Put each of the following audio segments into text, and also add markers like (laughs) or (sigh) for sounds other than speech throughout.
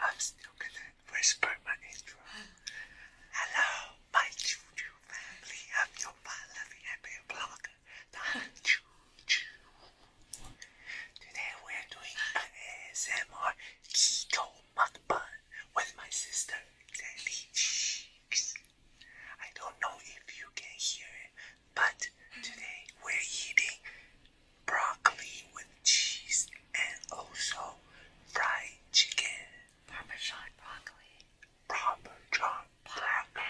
I'm still gonna whisper my intro. Hello, my choo family. I'm your fun-loving happy blogger, Dr. Today we're doing an ASMR keto mukbang with my sister, Sandy Cheeks. I don't know if you can hear it, but today we're eating broccoli with cheese, and also fried chicken. Parmesan broccoli. Parmesan broccoli.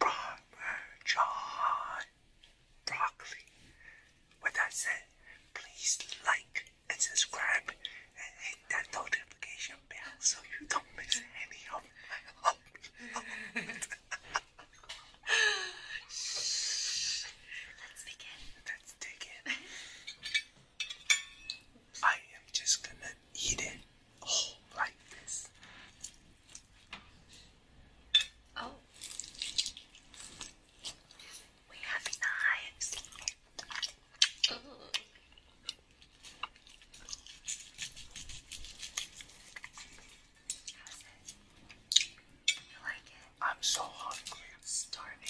Parmesan broccoli. With that said, please like and subscribe and hit that notification bell so you don't miss any of my uploads. (laughs) Shh. Let's begin. Let's dig I am just gonna eat it whole like this. Oh. We have knives. I'm so hungry. starving.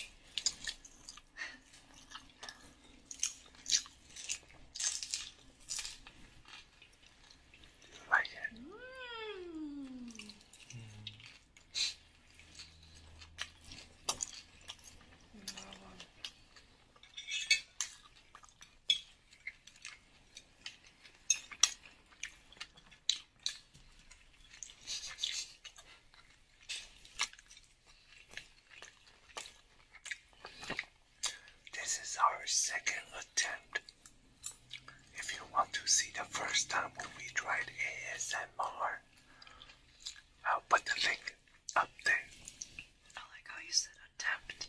like it? Mm. This is our second attempt. If you want to see the first time when we tried ASMR, I'll put the link up there. I like how you said attempt.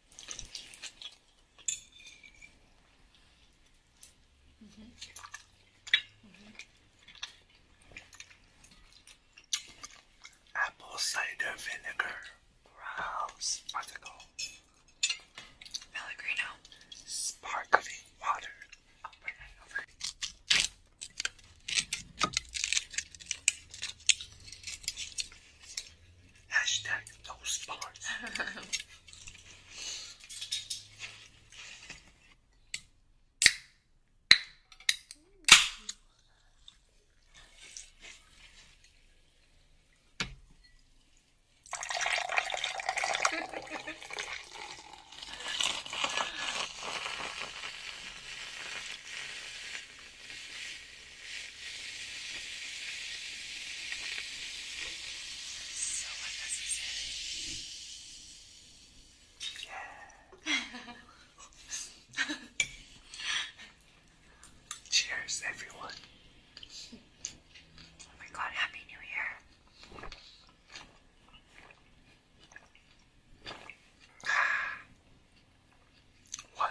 Mm-hmm. Apple cider vinegar, Brahms particle, Pellegrino, sparkling water. Hashtag those parts. (laughs) So Cheers, everyone. Oh my god, Happy New Year. (sighs) What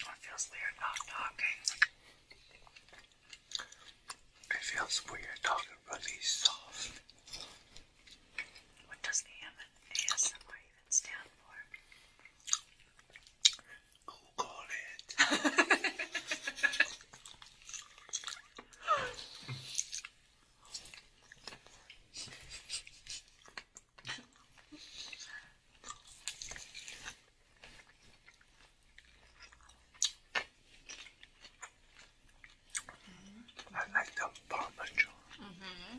It feels weird not talking. It feels weird talking really soft. What does ASMR even stand for? Google it. (laughs) (laughs) I like the parmesan. Mm -hmm.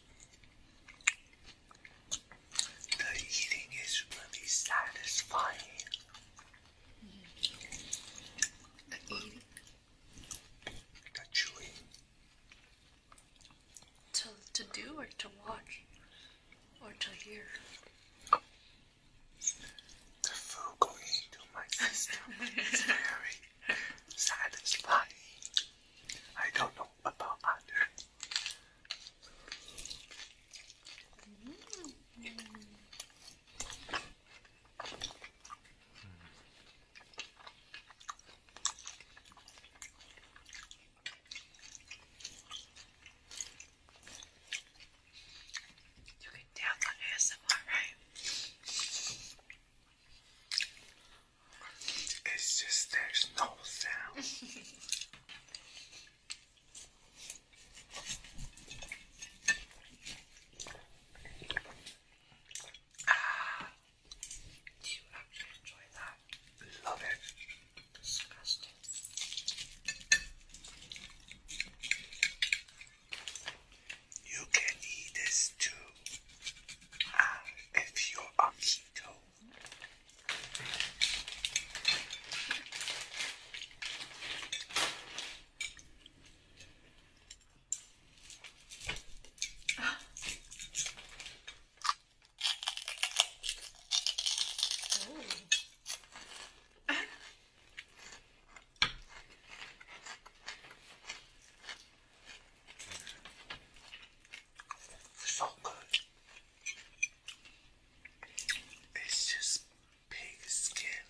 The eating is really satisfying. The eating. The chewing. To, to do or to watch or to hear. The food going into my system is very satisfying. I don't know about other. You can tell on ASMR, right? It's just there's no sound. ah, do you actually enjoy that? Love it. Disgusting. You can eat this too. Uh, if you're on keto. Ah. So good. It's just pig skin.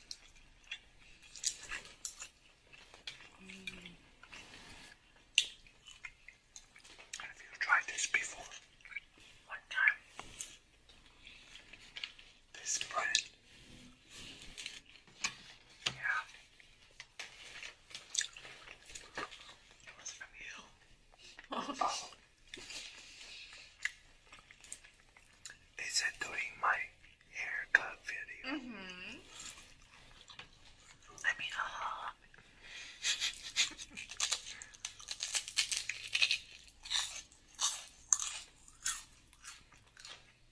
Mm. Have you tried this before? One time. This bread. Yeah. It was from you. Oh. They said during my haircut video. Mm hmm I mean, uh, (laughs)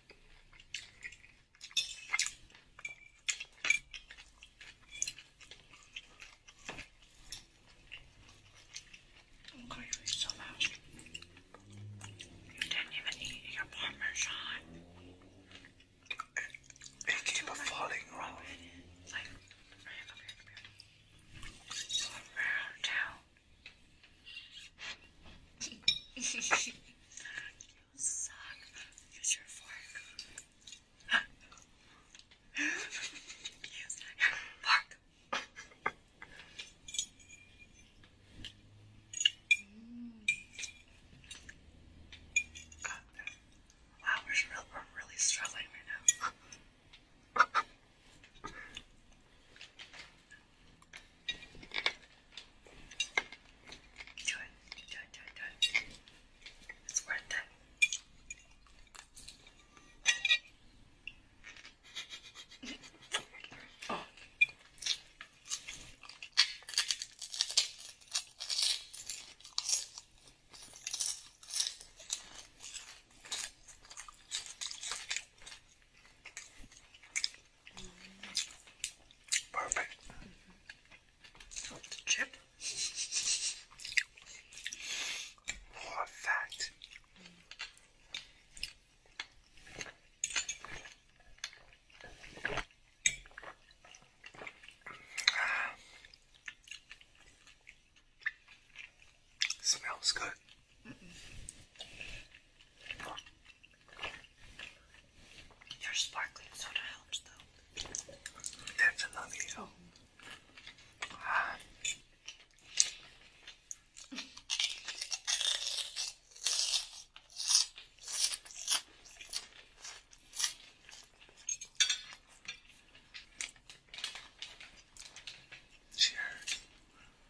I'm going to eat so much. You didn't even eat your parmesan. It, it keep on falling off. Like, come here, come here, come here. So round out suck. Use your fork. Use your fork. wow, we're really struggling right now. Do it, do it, do it, do it. It's worth it. oh. Perfect. chip. Perfect. Ah. Smells good. Mm -mm. Your sparkling soda helps, though. Definitely helps. Cheers.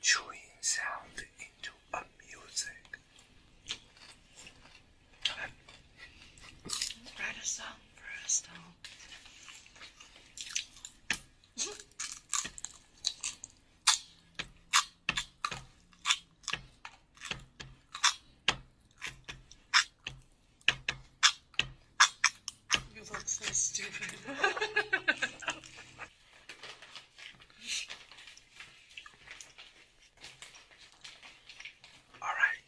chewing sound into a music. Write a song for us, though. (laughs) you look so stupid. (laughs) Alright.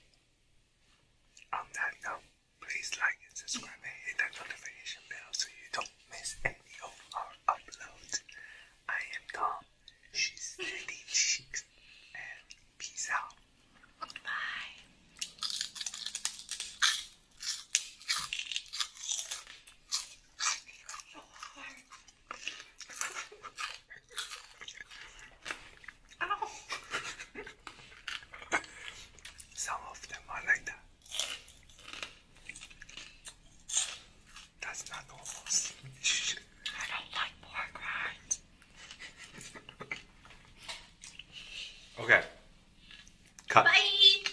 On that note, please like and subscribe hit that notification bell so you don't miss any of our uploads. I am Tom, she's Lady and peace out. Bye. Ow. (laughs) Some of them are like that. That's not normal. (laughs) I don't like pork rinds. (laughs) okay. Bye.